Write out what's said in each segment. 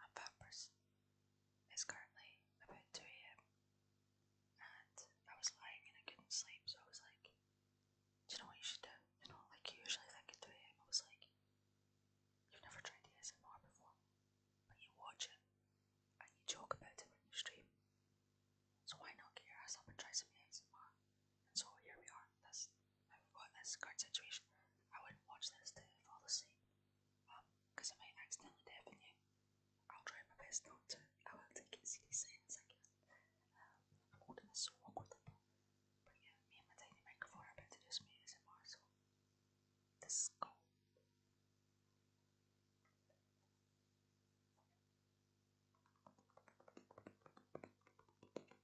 I'm purpose, is currently about 2 a.m. And I was lying and I couldn't sleep, so I was like, do you know what you should do? You know, like you usually think at 2 a.m. I was like, you've never tried ASMR before, and you watch it and you talk about it when you stream. So why not get your ass up and try some ASMR? And so here we are. That's my that's current situation, I would not watch this to fall asleep. Um, because I may accidentally deafen you. I'll try my best not to. I will take it seriously as I am holding this so awkwardly. But yeah, me and my tiny microphone are about to do some ASMR, so this is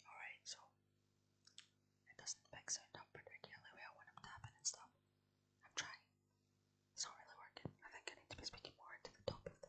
Alright, so it doesn't mix it up particularly well when I'm tapping and stuff. I'm trying. It's not really working. I think I need to be speaking more into the top of the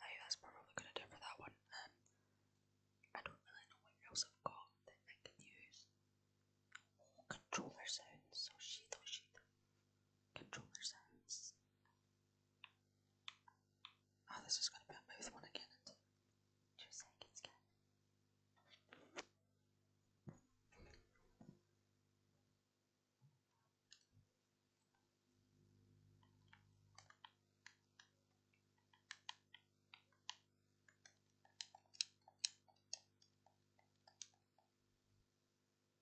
Hey, that's probably gonna do for that one. Um, I don't really know what else I've got that I can use. controller sounds. So oh, she, though she, controller sounds. Oh, this is going to be a both one again. And seconds again.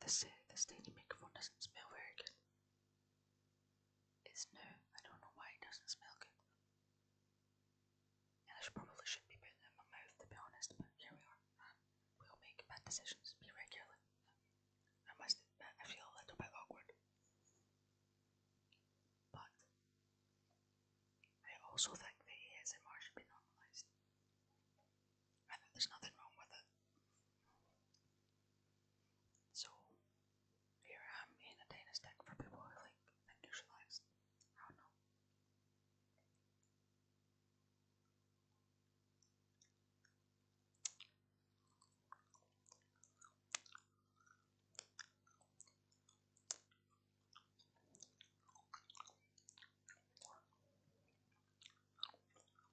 This, this tiny microphone doesn't smell very good. It's no, I don't know why it doesn't smell good. And I should probably should be putting it in my mouth to be honest, but here we are. we will make bad decisions, be regular. I must admit, I feel a little bit awkward. But I also think that he has ASMR should be normalised and then there's nothing wrong with it. So here I am in a tennis deck for people who like industrialized. I don't know.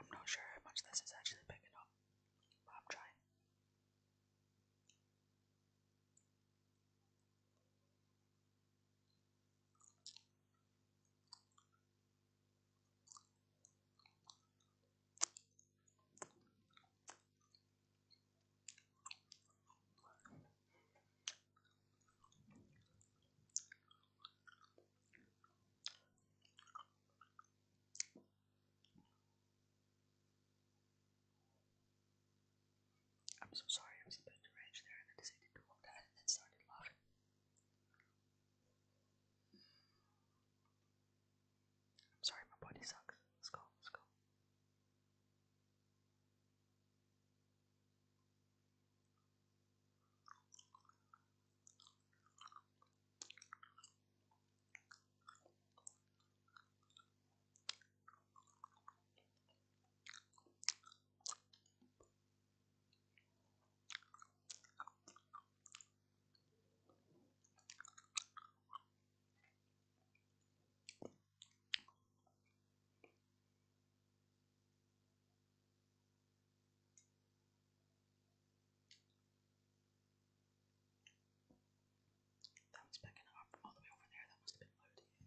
I'm not sure how much this is actually picking up, but I'm trying. I'm so sorry, I was a bit deranged there and then decided to walk that and then started laughing. I'm sorry, my body sucks. Let's go, let's go. That was picking up all the way over there. That must have been loud.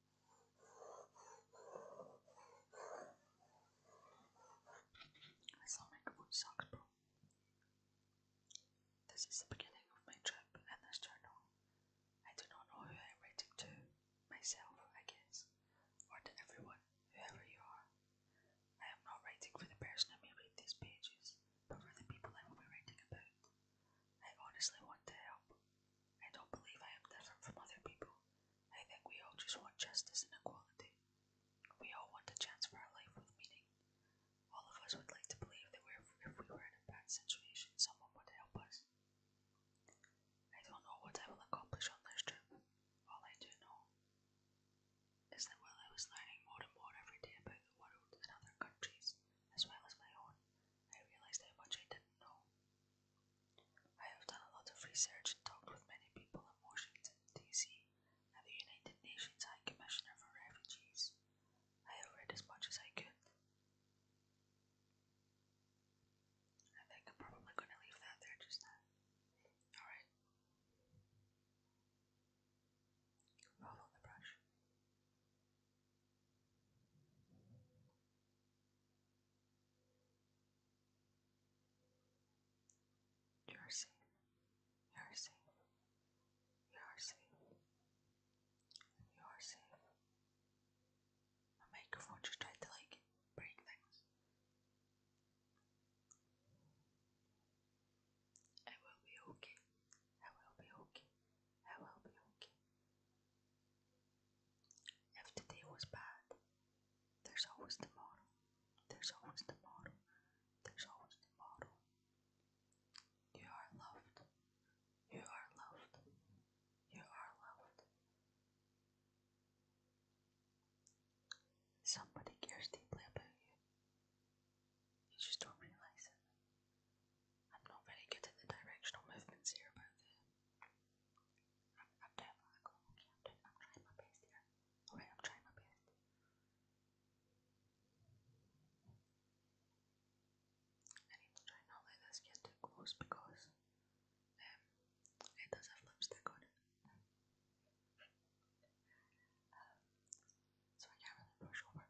I This is the beginning of my trip in this journal. I do not know who I am writing to. Myself, I guess. Or to everyone, whoever you are. I am not writing for the person who may read these pages, but for the people I will writing about. I honestly want to help. I don't believe I am different from other people. I think we all just want justice and equality. We all want a chance for our life with meaning. All of us would like to believe that if we were in a bad situation, someone would help us. I don't know what I will accomplish on this trip. All I do know is that while I was learning more and more every day about the world and other countries, as well as my own, I realized how much I didn't know. I have done a lot of research and talked with many people in Washington, D.C., and the United Nations High Commissioner for Refugees. I have read as much as I could. I think I'm probably going to leave that there just now. Alright. Follow the brush. You're safe. You're safe. You're safe. You're safe. My microphone just tried to like break things. I will be okay. I will be okay. I will be okay. If today was bad, there's always tomorrow. There's always tomorrow. There's always tomorrow. You are loved. You are loved. You are loved. Somebody cares deeply about you. You just don't realize it. I'm not very good at the directional movements here, but the, uh, I'm, trying my best here. Alright, I'm trying my best. I need to try not let this get too close because um, it does have lipstick on it. Um, so I brush over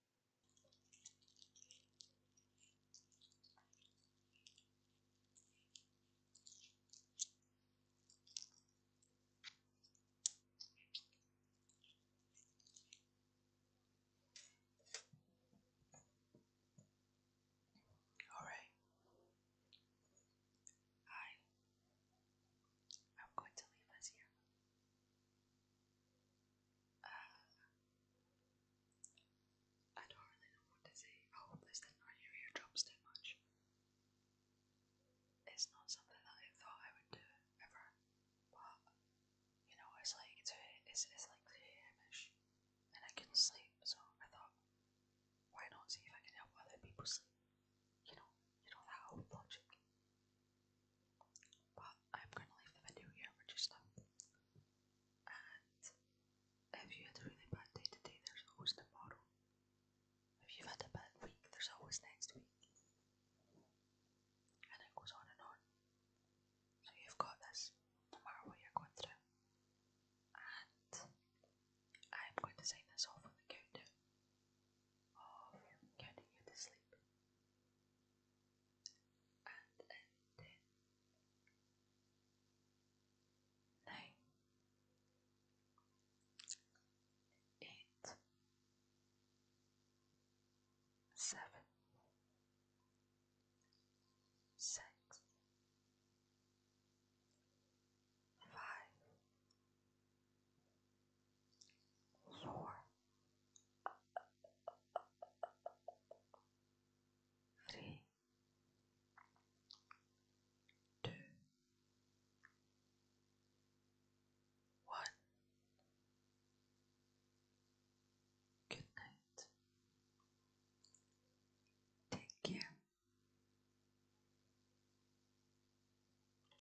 All right. I I'm going to leave us here. Uh, I don't really know what to say. I hope this didn't hurt your too much. It's not something that I thought I would do ever, but you know, it's like it's it's, like the image, and I couldn't sleep, so I thought, why not see if I can help other people sleep? You know, you know that old logic. But I'm gonna leave the video here, which is not. And if you had a really bad day today, there's always tomorrow. If you've had a bad week, there's always next week. And it goes on and on. So you've got this, no matter what you're going through. And I'm going to sign this off on the countdown of counting you to sleep and ended. Nine, eight, seven, six, five, four. 3 2 Good night. Take care.